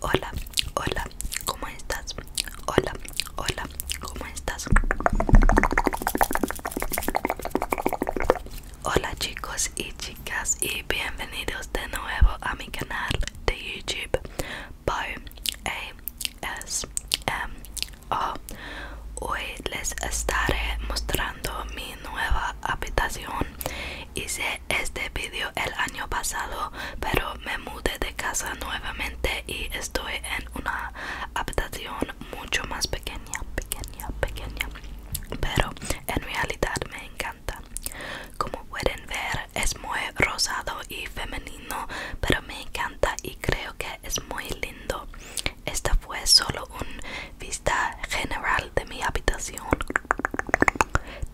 Hola, hola, ¿cómo estás? Hola, hola, ¿cómo estás? Hola chicos y chicas y bienvenidos de nuevo a mi canal de YouTube a s m Hoy les estaré mostrando mi nueva habitación. Hice este vídeo el año pasado, pero me mudé de casa nuevamente y estoy en una habitación mucho más pequeña, pequeña, pequeña. Pero en realidad me encanta. Como pueden ver, es muy rosado y femenino pero me encanta y creo que es muy lindo esta fue solo un vista general de mi habitación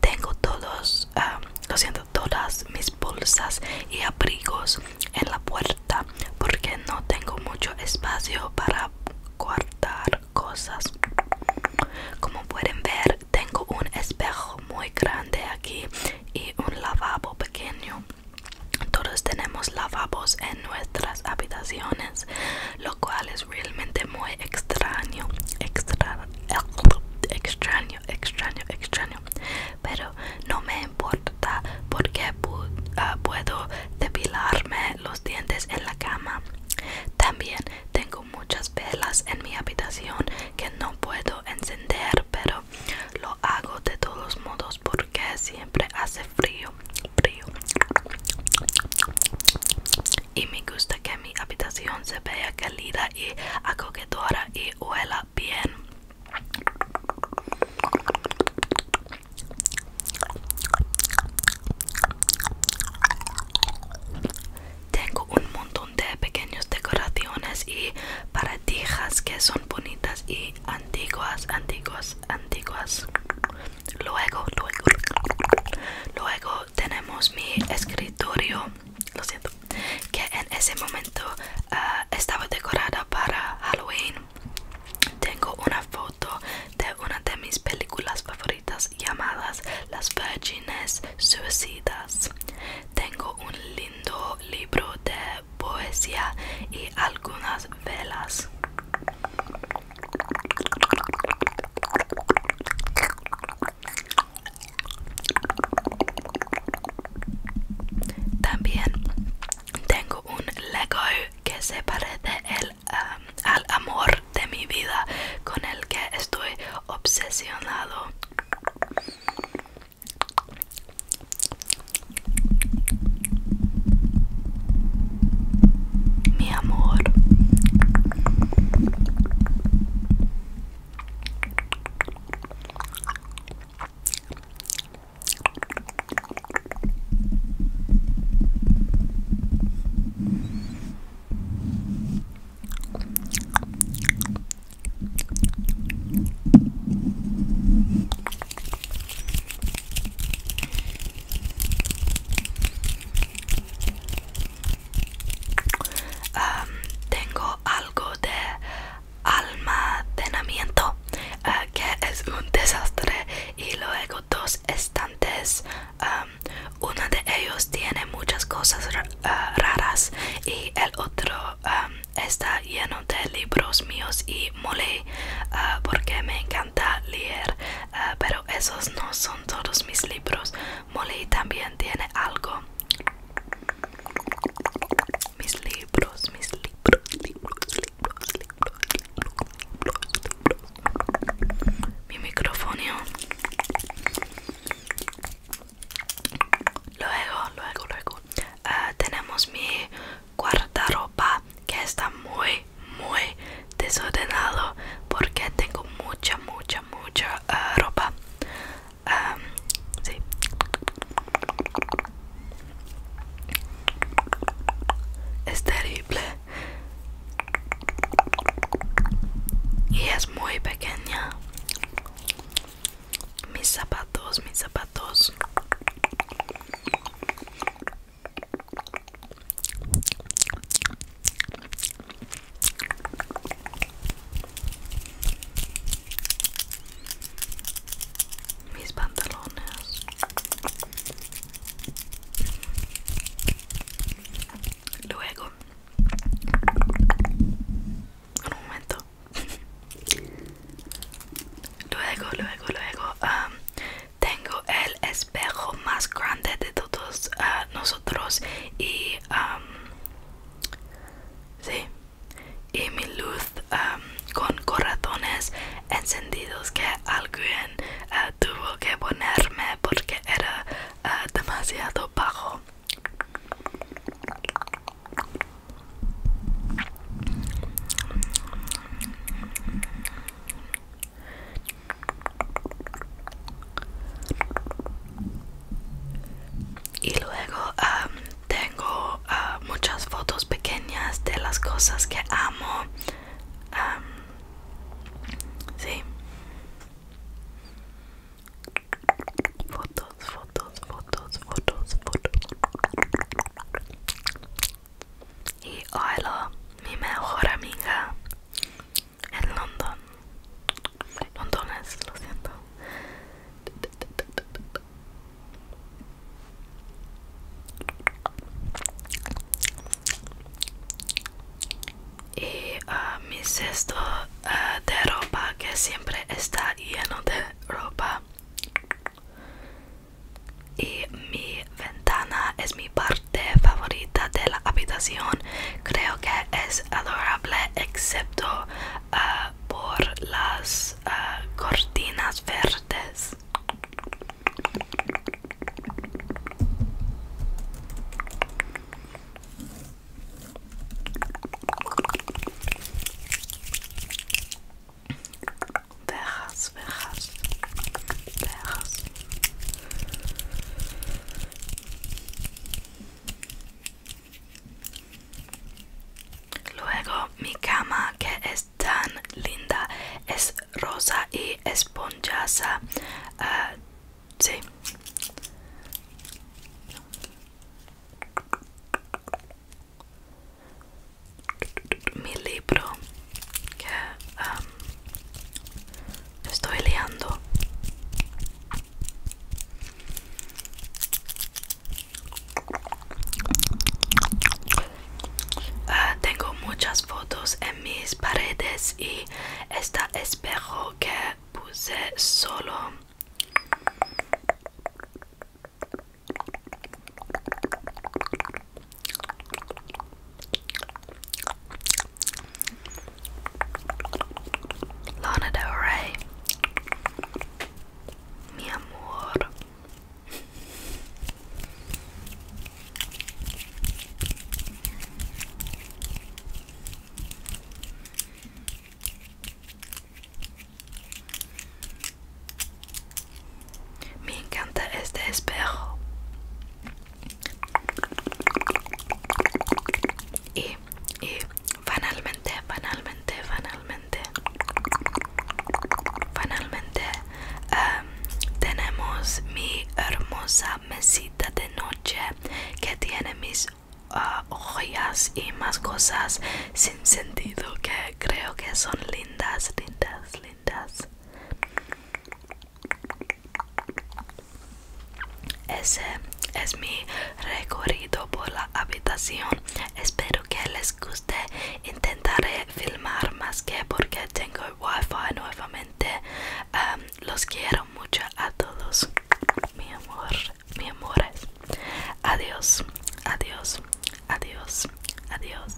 tengo todos haciendo ah, lo siento todas mis bolsas y abrigos en la puerta porque no tengo mucho espacio para guardar cosas como pueden ver tengo un espejo muy grande aquí y un lavabo pequeño. Todos tenemos lavabos en nuestras habitaciones, lo cual es realmente muy extraño, extra, extraño, extraño, extraño. Pero no me importa porque ah, puedo depilarme los dientes en la cama. También tengo muchas velas en mi habitación que no puedo encender, pero lo hago de todos modos porque siempre hace frío, frío. Y me gusta que mi habitación se vea calida y acogedora y huela bien. Tengo un montón de pequeños decoraciones y paradijas que son bonitas y antiguas, antiguas, antiguas. Luego, luego, tenemos mi escritorio, lo siento, que en ese momento ah, estaba decorada para Halloween. Tengo una foto de una de mis películas favoritas llamadas las vírgenes suicidas. Tengo un lindo libro de poesía y algunas velas. También tengo un Lego que se parece él. Um, al amor de mi vida con el que estoy obsesionado. Mi amor tengo algo de almacenamiento eh, que es un desastre y luego dos estantes. Um, uno de ellos tiene muchas cosas uh, raras y el otro um, está lleno de libros míos y Molly uh, porque me encanta leer. Uh, pero esos no son todos mis libros. Molly también tiene algo. Mis libros, mis libros mi micrófono luego luego luego ah, tenemos mi cuarta ropa que está muy muy desordenado porque tengo mucha mucha mucha ah, ropa ah, sí es terrible. Y es muy pequeña. Mis zapatos, mis zapatos mis pantalones luego un momento luego luego luego um, tengo el espejo más grande de todos uh, nosotros y um, sí y mi luz con corazones encendidos que alguien ah, tuvo que ponerme porque era ah, demasiado bajo y luego tengo ah, muchas fotos pequeñas de las cosas que amo. sí. Fotos, fotos, fotos, fotos, fotos. Y Oilo, mi mejor amiga en London. Londres, lo siento y ah, mi cesto ah, de ropa que siempre está lleno de ropa y mi ventana es mi parte favorita de la habitación creo que es adorable excepto Ah, por las ah, cortinas verdes. Vejas, vejas, vejas. Luego mi cama que es tan linda es rosa y esponjosa. Ah, sí. Mi libro que estoy leyendo Ah, tengo muchas fotos en mis paredes y esta espejo que puse solo Lana Del Rey. Mi amor. Me encanta este espejo. Y, y finalmente, finalmente, finalmente, finalmente em, tenemos mi hermosa mesita de noche que tiene mis ah, joyas y más cosas sin sentido que creo que son lindas, lindas, lindas. Ese es mi recorrido por la habitación. Espero que les guste. Intentaré filmar más que porque tengo wifi nuevamente. Em, los quiero mucho a todos. Mi amor, mi amores. Adiós, adiós, adiós, adiós.